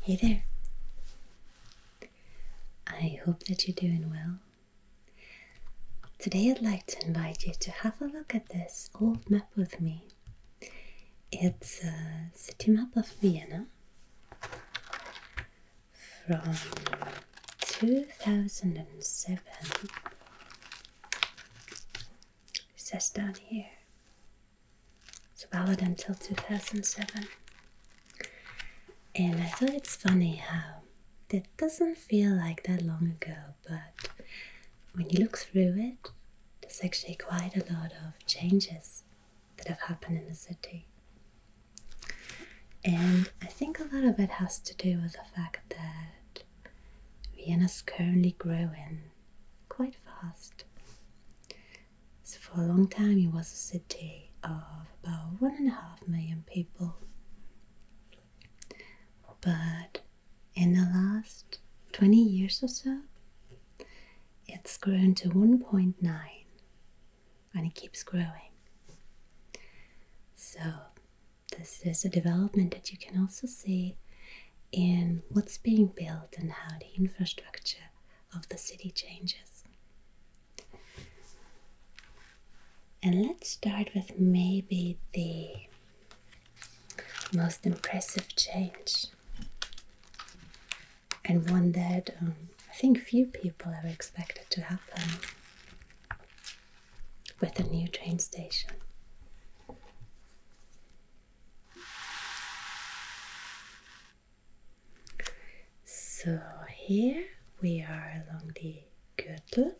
Hey there. I hope that you're doing well. Today I'd like to invite you to have a look at this old map with me. It's a uh, city map of Vienna from 2007 it says down here. It's valid until 2007. And I thought it's funny how that doesn't feel like that long ago, but when you look through it, there's actually quite a lot of changes that have happened in the city. And I think a lot of it has to do with the fact that Vienna's currently growing quite fast. So for a long time it was a city of about one and a half million people. But in the last 20 years or so, it's grown to 1.9 and it keeps growing. So this is a development that you can also see in what's being built and how the infrastructure of the city changes. And let's start with maybe the most impressive change, and one that um, I think few people ever expected to happen with a new train station. So here we are along the Gürtel.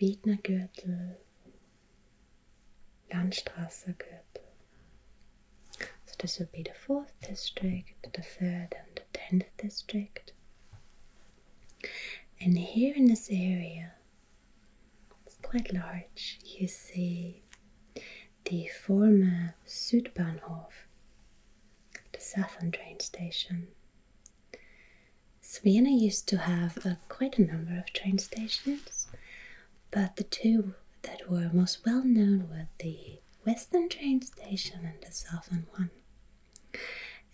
Wiedner Gürtel, Landstraße Gürtel. So this would be the fourth district, the third and the tenth district. And here in this area, it's quite large, you see the former Südbahnhof, the southern train station. Vienna used to have quite a number of train stations, but the two that were most well known were the western train station and the southern one.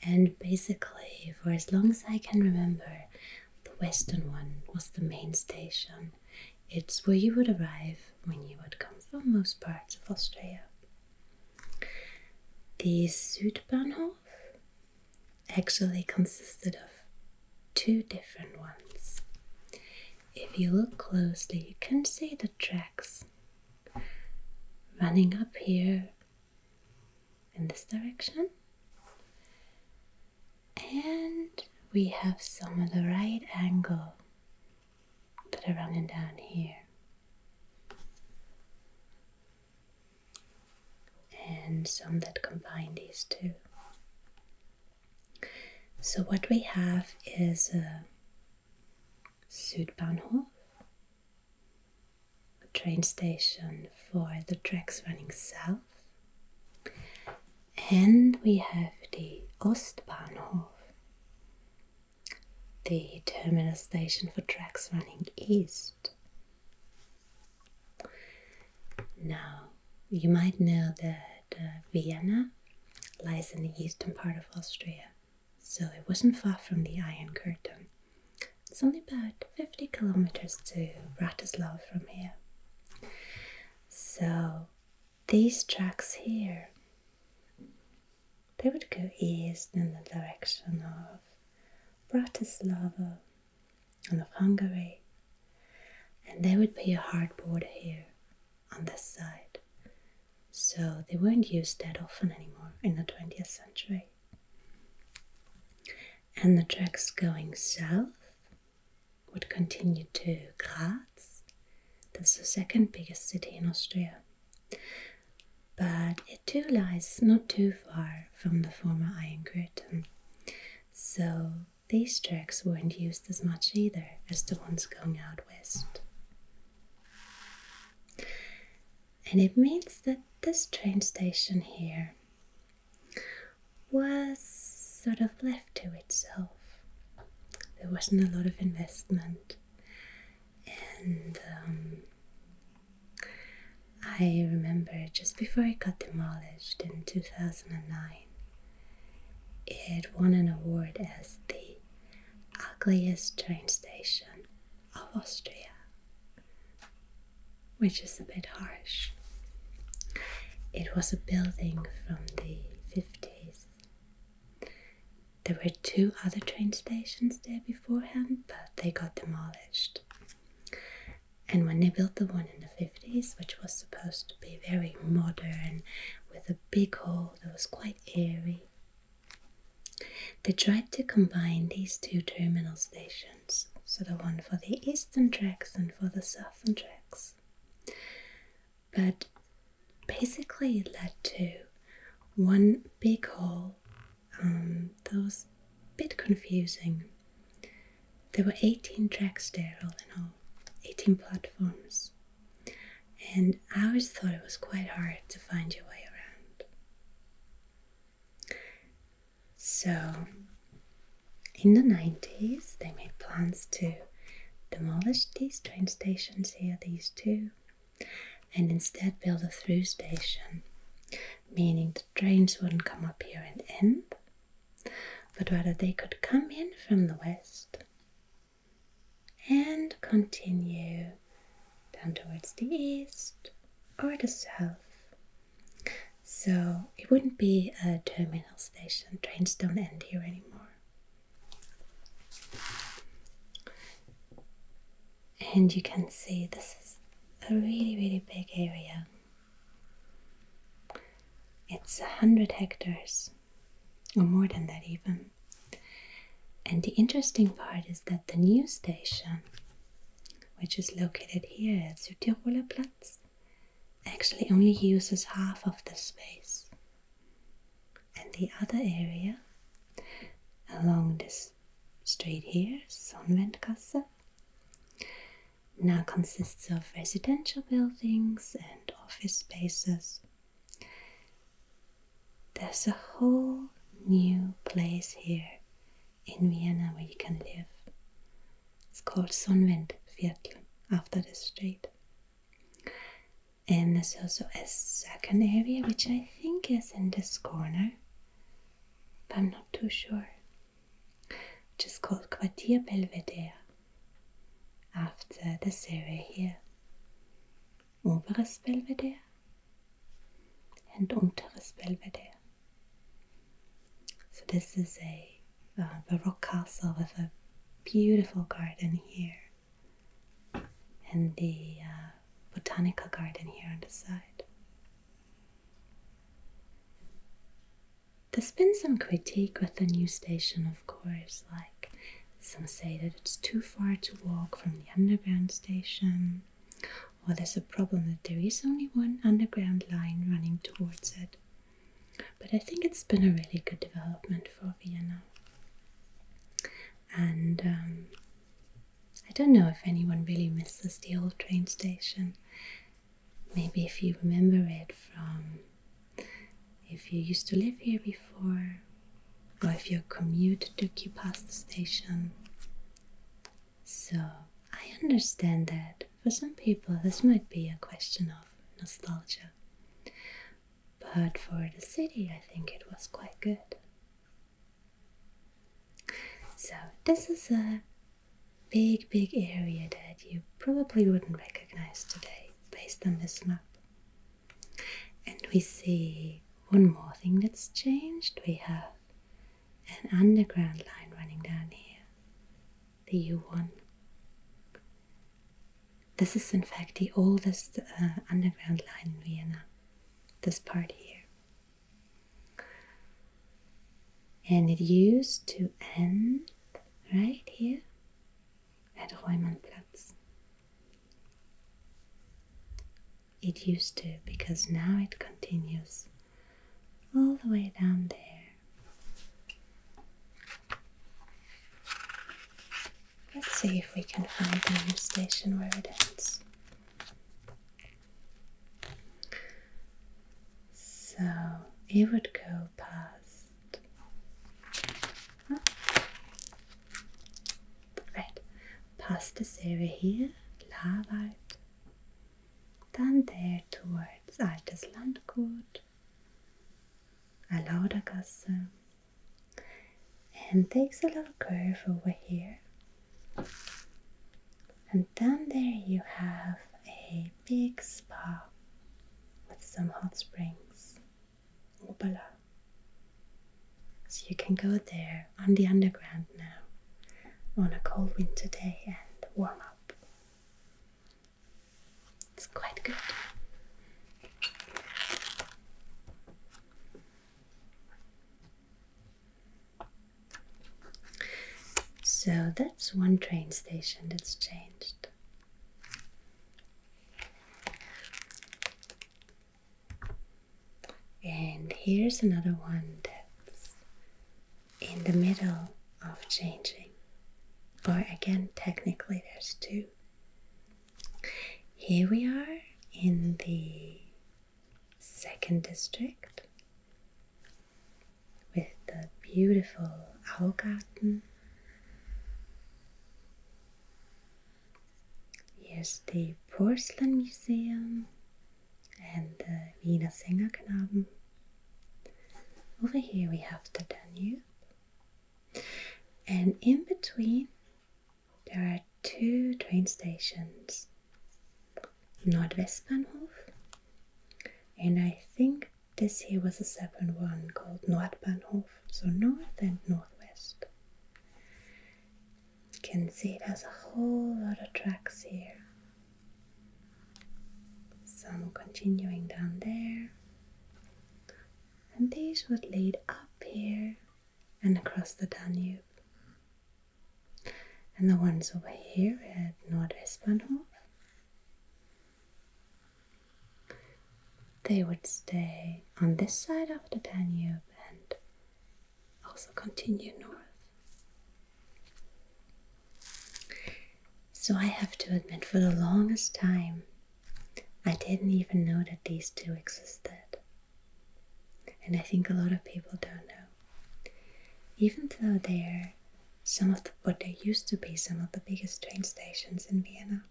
And basically, for as long as I can remember, the western one was the main station. It's where you would arrive when you would come from most parts of Austria. This Südbahnhof actually consisted of two different ones. If you look closely, you can see the tracks running up here in this direction. And we have some of the right angle that are running down here. And some that combine these two. So, what we have is Sudbahnhof, a train station for the tracks running south. And we have the Ostbahnhof, the terminal station for tracks running east. Now, you might know that uh, Vienna lies in the eastern part of Austria so it wasn't far from the Iron Curtain. It's only about 50 kilometers to Bratislava from here. So these tracks here, they would go east in the direction of Bratislava and of Hungary, and there would be a hard border here on this side so they weren't used that often anymore in the 20th century. And the tracks going south would continue to Graz, that's the second biggest city in Austria. But it too lies not too far from the former Iron Curtain, so these tracks weren't used as much either as the ones going out west. And it means that this train station here was sort of left to itself. There wasn't a lot of investment, and um, I remember just before it got demolished in 2009, it won an award as the ugliest train station of Austria, which is a bit harsh. It was a building from the 50s. There were two other train stations there beforehand, but they got demolished. And when they built the one in the 50s, which was supposed to be very modern with a big hall that was quite airy, they tried to combine these two terminal stations, so the one for the eastern tracks and for the southern tracks. But basically, it led to one big hall. um, that was a bit confusing. There were 18 tracks there, all in all, 18 platforms and I always thought it was quite hard to find your way around. So, in the 90s, they made plans to demolish these train stations here, these two, and instead build a through station, meaning the trains wouldn't come up here and end, but rather they could come in from the west and continue down towards the east or the south. So it wouldn't be a terminal station, trains don't end here anymore. And you can see this is a really, really big area. It's a hundred hectares, or more than that, even. And the interesting part is that the new station, which is located here at Südtiroler Platz, actually only uses half of the space. And the other area along this street here, Sonnenwendgasse, now consists of residential buildings and office spaces there's a whole new place here in Vienna where you can live. It's called Sonnenwindviertel after the street. And there's also a second area which I think is in this corner, but I'm not too sure, which called Quartier Belvedere after the area here. Oberes Belvedere and unteres Belvedere. So this is a uh, Baroque castle with a beautiful garden here and the uh, botanical garden here on the side. There's been some critique with the new station, of course, like some say that it's too far to walk from the underground station, or there's a problem that there is only one underground line running towards it. But I think it's been a really good development for Vienna. And um, I don't know if anyone really misses the old train station. Maybe if you remember it from if you used to live here before, or if your commute took you past the station. So, I understand that for some people this might be a question of nostalgia, but for the city, I think it was quite good. So, this is a big, big area that you probably wouldn't recognize today based on this map. And we see one more thing that's changed. We have an underground line running down here, the U1. This is in fact the oldest uh, underground line in Vienna, this part here. And it used to end right here at Reumannplatz. It used to because now it continues all the way down there. Let's see if we can find the station where it ends. So it would go past. Right, past this area here, Lavard, then there towards Altes Landgut, Alaudergasse, and takes a little curve over here. And then there you have a big spa with some hot springs. Opala. Uh, so you can go there on the underground now on a cold winter day and warm up. It's quite good. So that's one train station that's changed. And here's another one that's in the middle of changing. Or again, technically, there's two. Here we are in the second district with the beautiful Augarten Here's the Porcelain Museum and the Wiener Sängerknaben. Over here we have the Danube. And in between there are two train stations. Nordwestbahnhof and I think this here was a separate one called Nordbahnhof, so north and northwest. You can see there's a whole lot of tracks here. Some continuing down there. And these would lead up here and across the Danube. And the ones over here at Nordwestbahnhof they would stay on this side of the Danube and also continue north. So I have to admit, for the longest time, I didn't even know that these two existed. And I think a lot of people don't know. Even though they're some of what they used to be some of the biggest train stations in Vienna.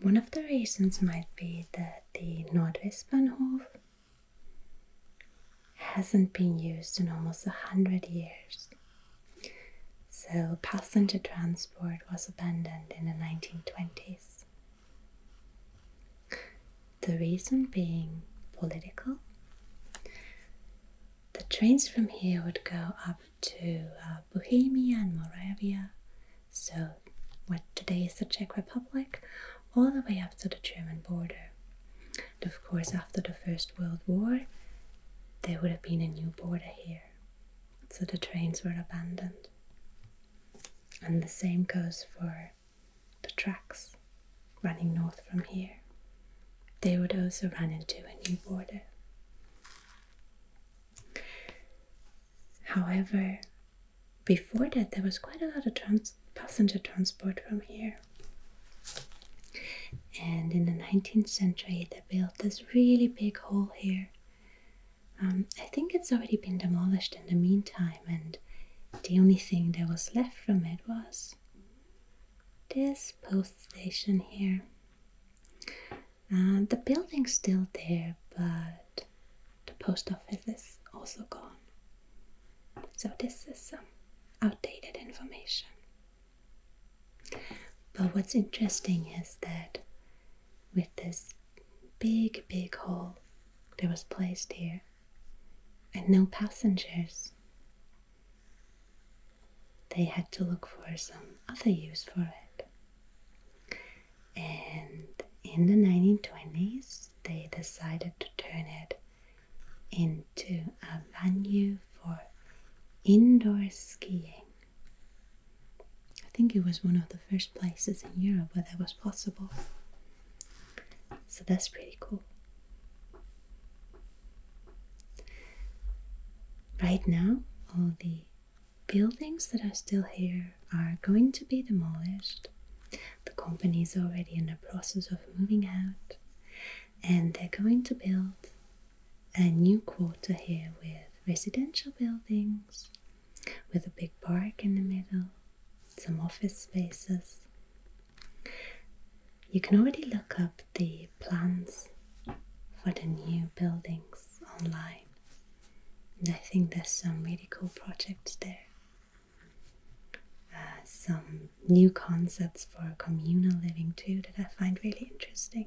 One of the reasons might be that the Nordwestbahnhof hasn't been used in almost a hundred years. So passenger transport was abandoned in the 1920s. The reason being political. The trains from here would go up to uh, Bohemia and Moravia, so what today is the Czech Republic, all the way up to the German border. And of course, after the First World War, there would have been a new border here, so the trains were abandoned. And the same goes for the tracks running north from here. They would also run into a new border. However, before that, there was quite a lot of passenger transport from here. And in the 19th century, they built this really big hall here. Um, I think it's already been demolished in the meantime, and the only thing that was left from it was this post station here. Uh, the building's still there, but the post office is also gone. So, this is some outdated information. But what's interesting is that with this big, big hole that was placed here and no passengers, they had to look for some other use for it and in the 1920s they decided to turn it into a venue for indoor skiing. I think it was one of the first places in Europe where that was possible. So that's pretty cool. Right now, all the buildings that are still here are going to be demolished. The company is already in the process of moving out, and they're going to build a new quarter here with residential buildings, with a big park in the middle, some office spaces. You can already look up the plans for the new buildings online. And I think there's some really cool projects there. Uh, some new concepts for communal living too that I find really interesting.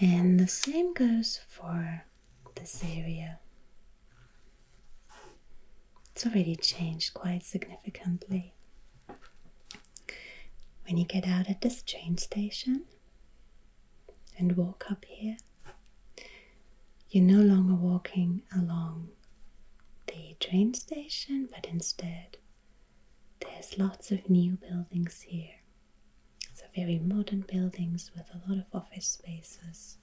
And the same goes for this area. It's already changed quite significantly. When you get out at this train station, and walk up here, you're no longer walking along the train station, but instead there's lots of new buildings here. So, very modern buildings with a lot of office spaces,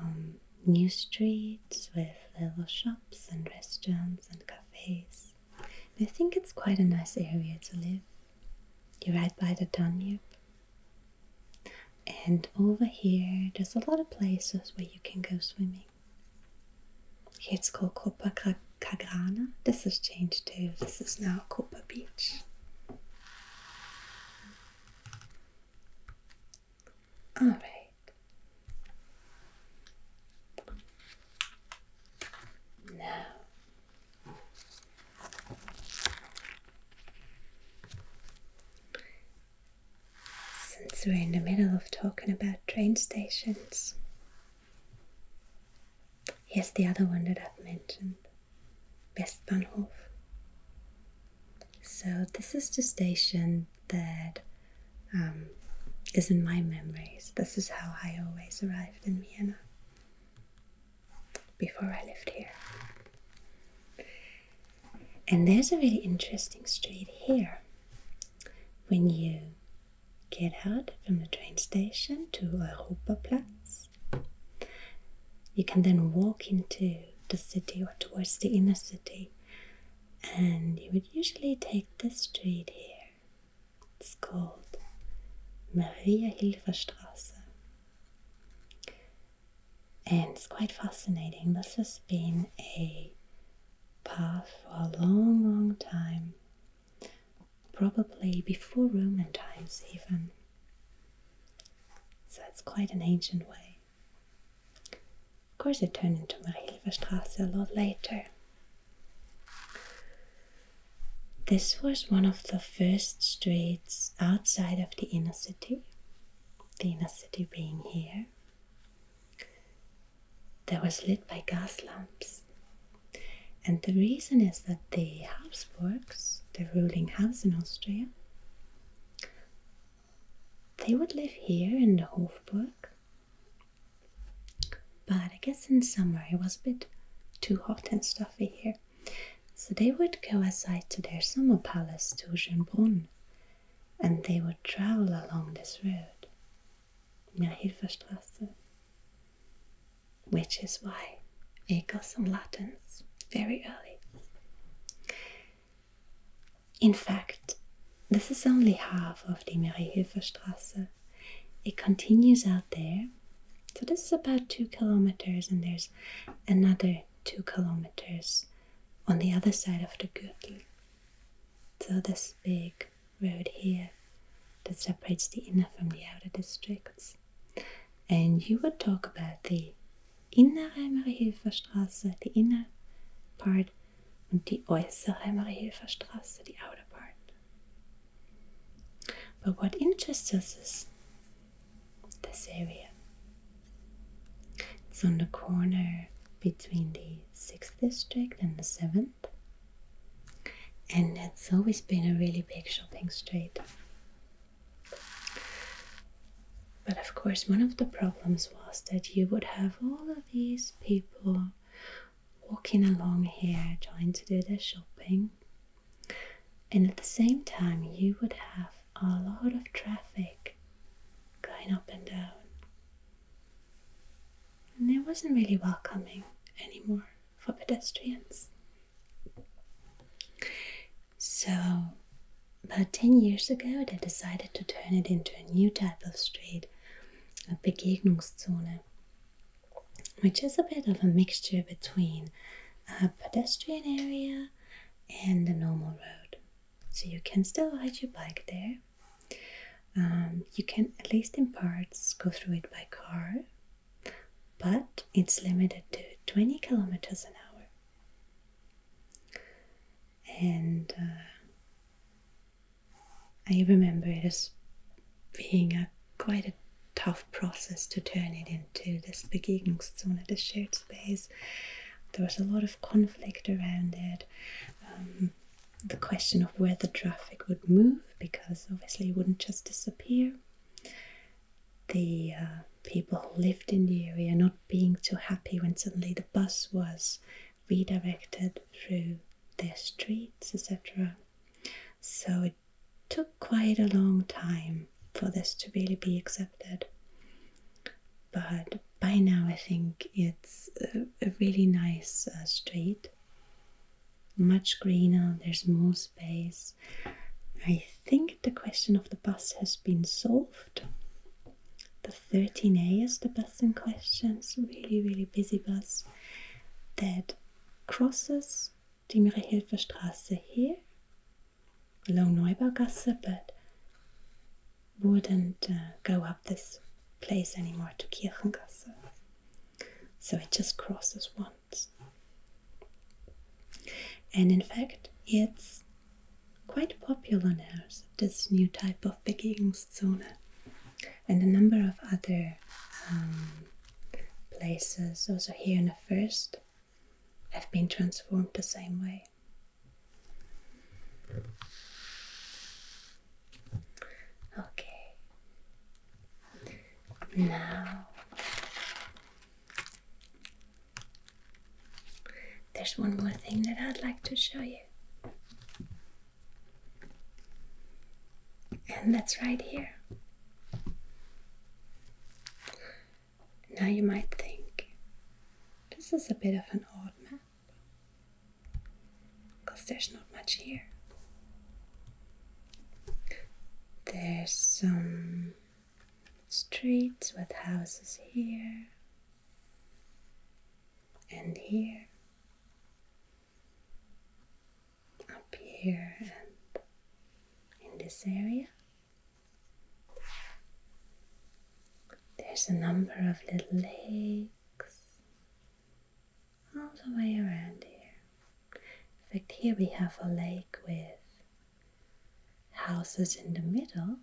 um, new streets with little shops and restaurants and cafes. I think it's quite a nice area to live. You're right by the Danube. And over here, there's a lot of places where you can go swimming. it's called Copa Cagrana. This has changed too. This is now Copa Beach. Alright. Now, since we're in the middle of talking about train stations, here's the other one that I've mentioned Westbahnhof. So, this is the station that um, is in my memories. This is how I always arrived in Vienna before I lived here. And there's a really interesting street here. When you get out from the train station to Europaplatz, you can then walk into the city or towards the inner city, and you would usually take this street here. It's called Maria Hilfer Straße, And it's quite fascinating. This has been a path for a long, long time, probably before Roman times, even. So it's quite an ancient way. Of course, it turned into Maria Hilfer Straße a lot later, this was one of the first streets outside of the inner city, the inner city being here, that was lit by gas lamps. And the reason is that the Habsburgs, the ruling house in Austria, they would live here in the Hofburg but I guess in summer it was a bit too hot and stuffy here. So they would go aside to their summer palace, to Torsjönbrunn, and they would travel along this road, Nahilferstrasse, eh? which is why they got some Latins very early. In fact, this is only half of the Mariehilferstrasse, it continues out there. So this is about two kilometers, and there's another two kilometers on the other side of the Gürtel. So this big road here that separates the inner from the outer districts. And you would talk about the innere Mariehilferstraße, the inner part, and the äußere Mariehilferstraße, the outer part. But what interests us is this area. It's on the corner between the 6th district and the 7th. And it's always been a really big shopping street. But of course, one of the problems was that you would have all of these people walking along here trying to do their shopping. And at the same time, you would have a lot of traffic going up and down. And it wasn't really welcoming anymore for pedestrians. So, about 10 years ago, they decided to turn it into a new type of street, a Begegnungszone which is a bit of a mixture between a pedestrian area and a normal road. So you can still ride your bike there. Um, you can, at least in parts, go through it by car, but it's limited to 20 kilometers an hour. And uh, I remember it as being a quite a tough process to turn it into this Begegnungszone, this shared space. There was a lot of conflict around it. Um, the question of where the traffic would move, because obviously it wouldn't just disappear. The uh, people who lived in the area not being too happy when suddenly the bus was redirected through their streets, etc. So took quite a long time for this to really be accepted. But by now, I think it's a, really nice uh, street. Much greener, there's more space. I think the question of the bus has been solved. The 13A is the bus in question, it's really, really busy bus that crosses towards die Mehrehelferstraße here along Neubaugasse, but wouldn't uh, go up this place anymore to Kirchengasse. So it just crosses once. And in fact, it's quite popular now, this new type of begging zone and a number of other um, places also here in the first have been transformed the same way. Okay, now there's one more thing that I'd like to show you. And that's right here. Now you might think this is a bit of an odd map because there's not much here. There's some streets with houses here and here up here and in this area. There's a number of little lakes all the way around here. In fact, here we have a lake with houses in the middle.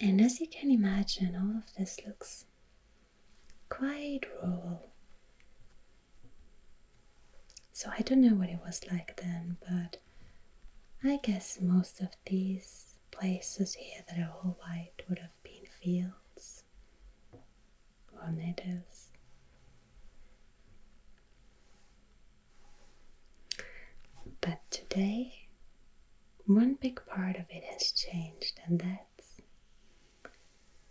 And as you can imagine, all of this looks quite rural. So I don't know what it was like then, but I guess most of these places here that are all white would have been fields or meadows. But today one big part of it has changed, and that's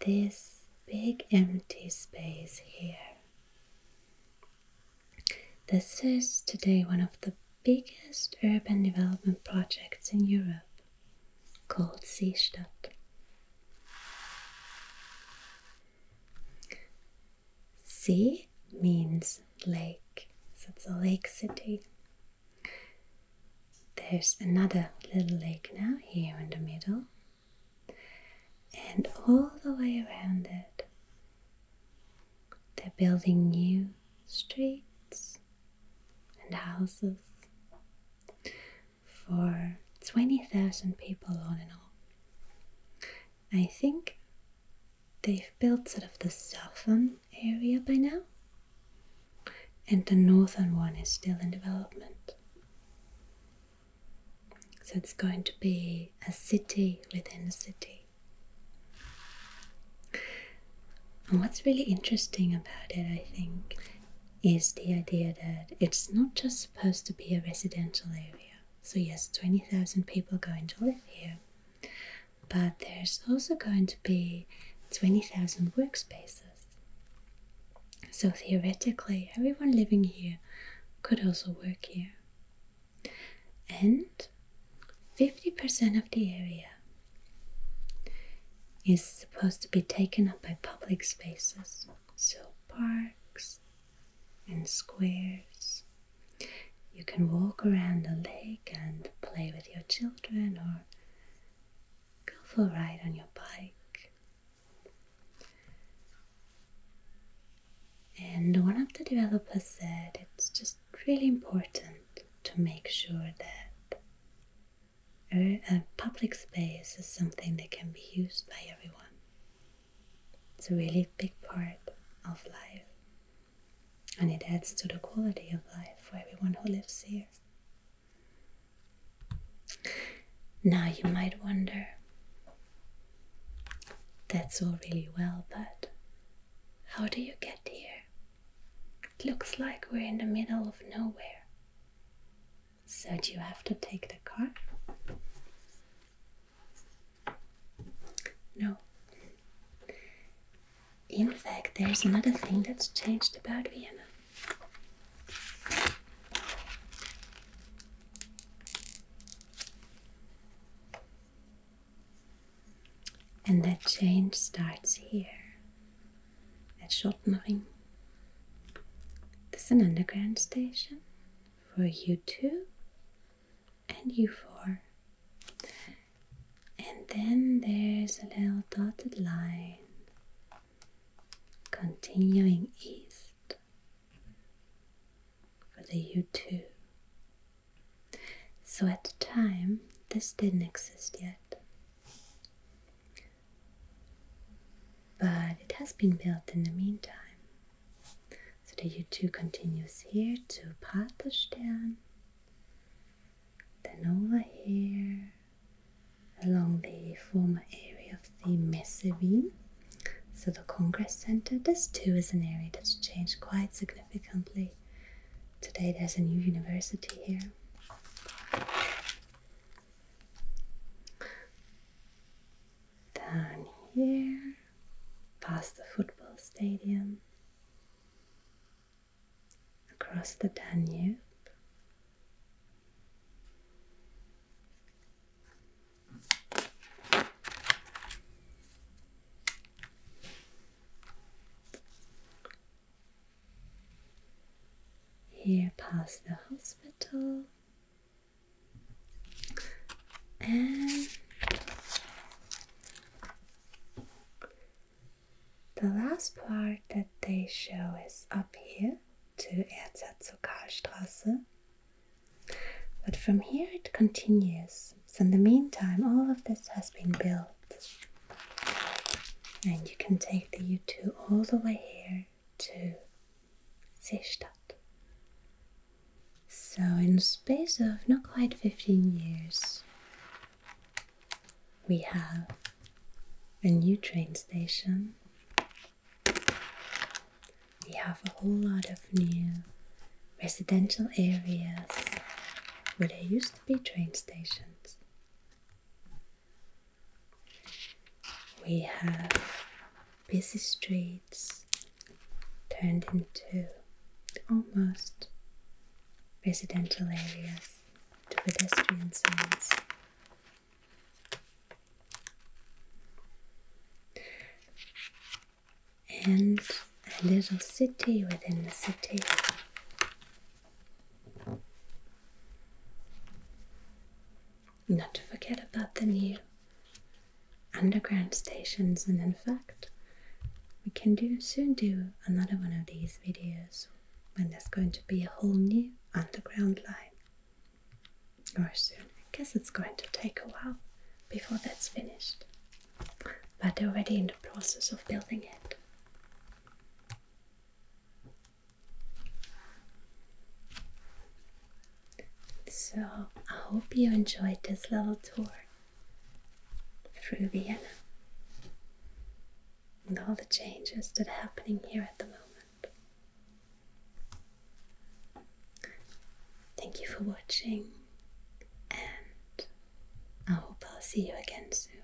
this big empty space here. This is today one of the biggest urban development projects in Europe called Seestadt. Sea means lake, so it's a lake city. There's another little lake now here in the middle, and all the way around it, they're building new streets and houses for 20,000 people, all in all. I think they've built sort of the southern area by now, and the northern one is still in development. So it's going to be a city within a city. And what's really interesting about it, I think, is the idea that it's not just supposed to be a residential area. So, yes, 20,000 people going to live here, but there's also going to be 20,000 workspaces. So theoretically, everyone living here could also work here. And 50% of the area is supposed to be taken up by public spaces, so parks and squares. You can walk around the lake and play with your children children go for a ride on your bike. And one of the developers said it's just really important to make sure that a public space is something that can be used by everyone. It's a really big part of life and it adds to the quality of life for everyone who lives here. Now you might wonder, that's all really well, but how do you get here? It looks like we're in the middle of nowhere. So do you have to take the car? No. In fact, there's another thing that's changed about Vienna. And that change starts here at Schottenring. There's an underground station for U2 and U4 and then there's a little dotted line continuing east for the U2. So at the time, this didn't exist yet. But it has been built in the meantime. So the U2 continues here to Paterstern then over here along the former area of the Messerine, so the Congress Center, this too is an area that's changed quite significantly. Today there's a new university here. Down here, past the football stadium, across the Danube. Here past the hospital and the last part that they show is up here to Erzherzogarstraße. But from here it continues. So in the meantime, all of this has been built. And you can take the U2 all the way here to Seestadt. So in space of not quite 15 years, we have a new train station. We have a whole lot of new residential areas where there used to be train stations. We have busy streets turned into almost residential areas to pedestrian zones. And a little city within the city. Not to forget about the new underground stations, and in fact, we can do soon do another one of these videos when there's going to be a whole new underground line. Or soon, I guess it's going to take a while before that's finished. But already in the process of building it. So, I hope you enjoyed this little tour through Vienna and all the changes that are happening here at the moment. Thank you for watching, and I hope I'll see you again soon.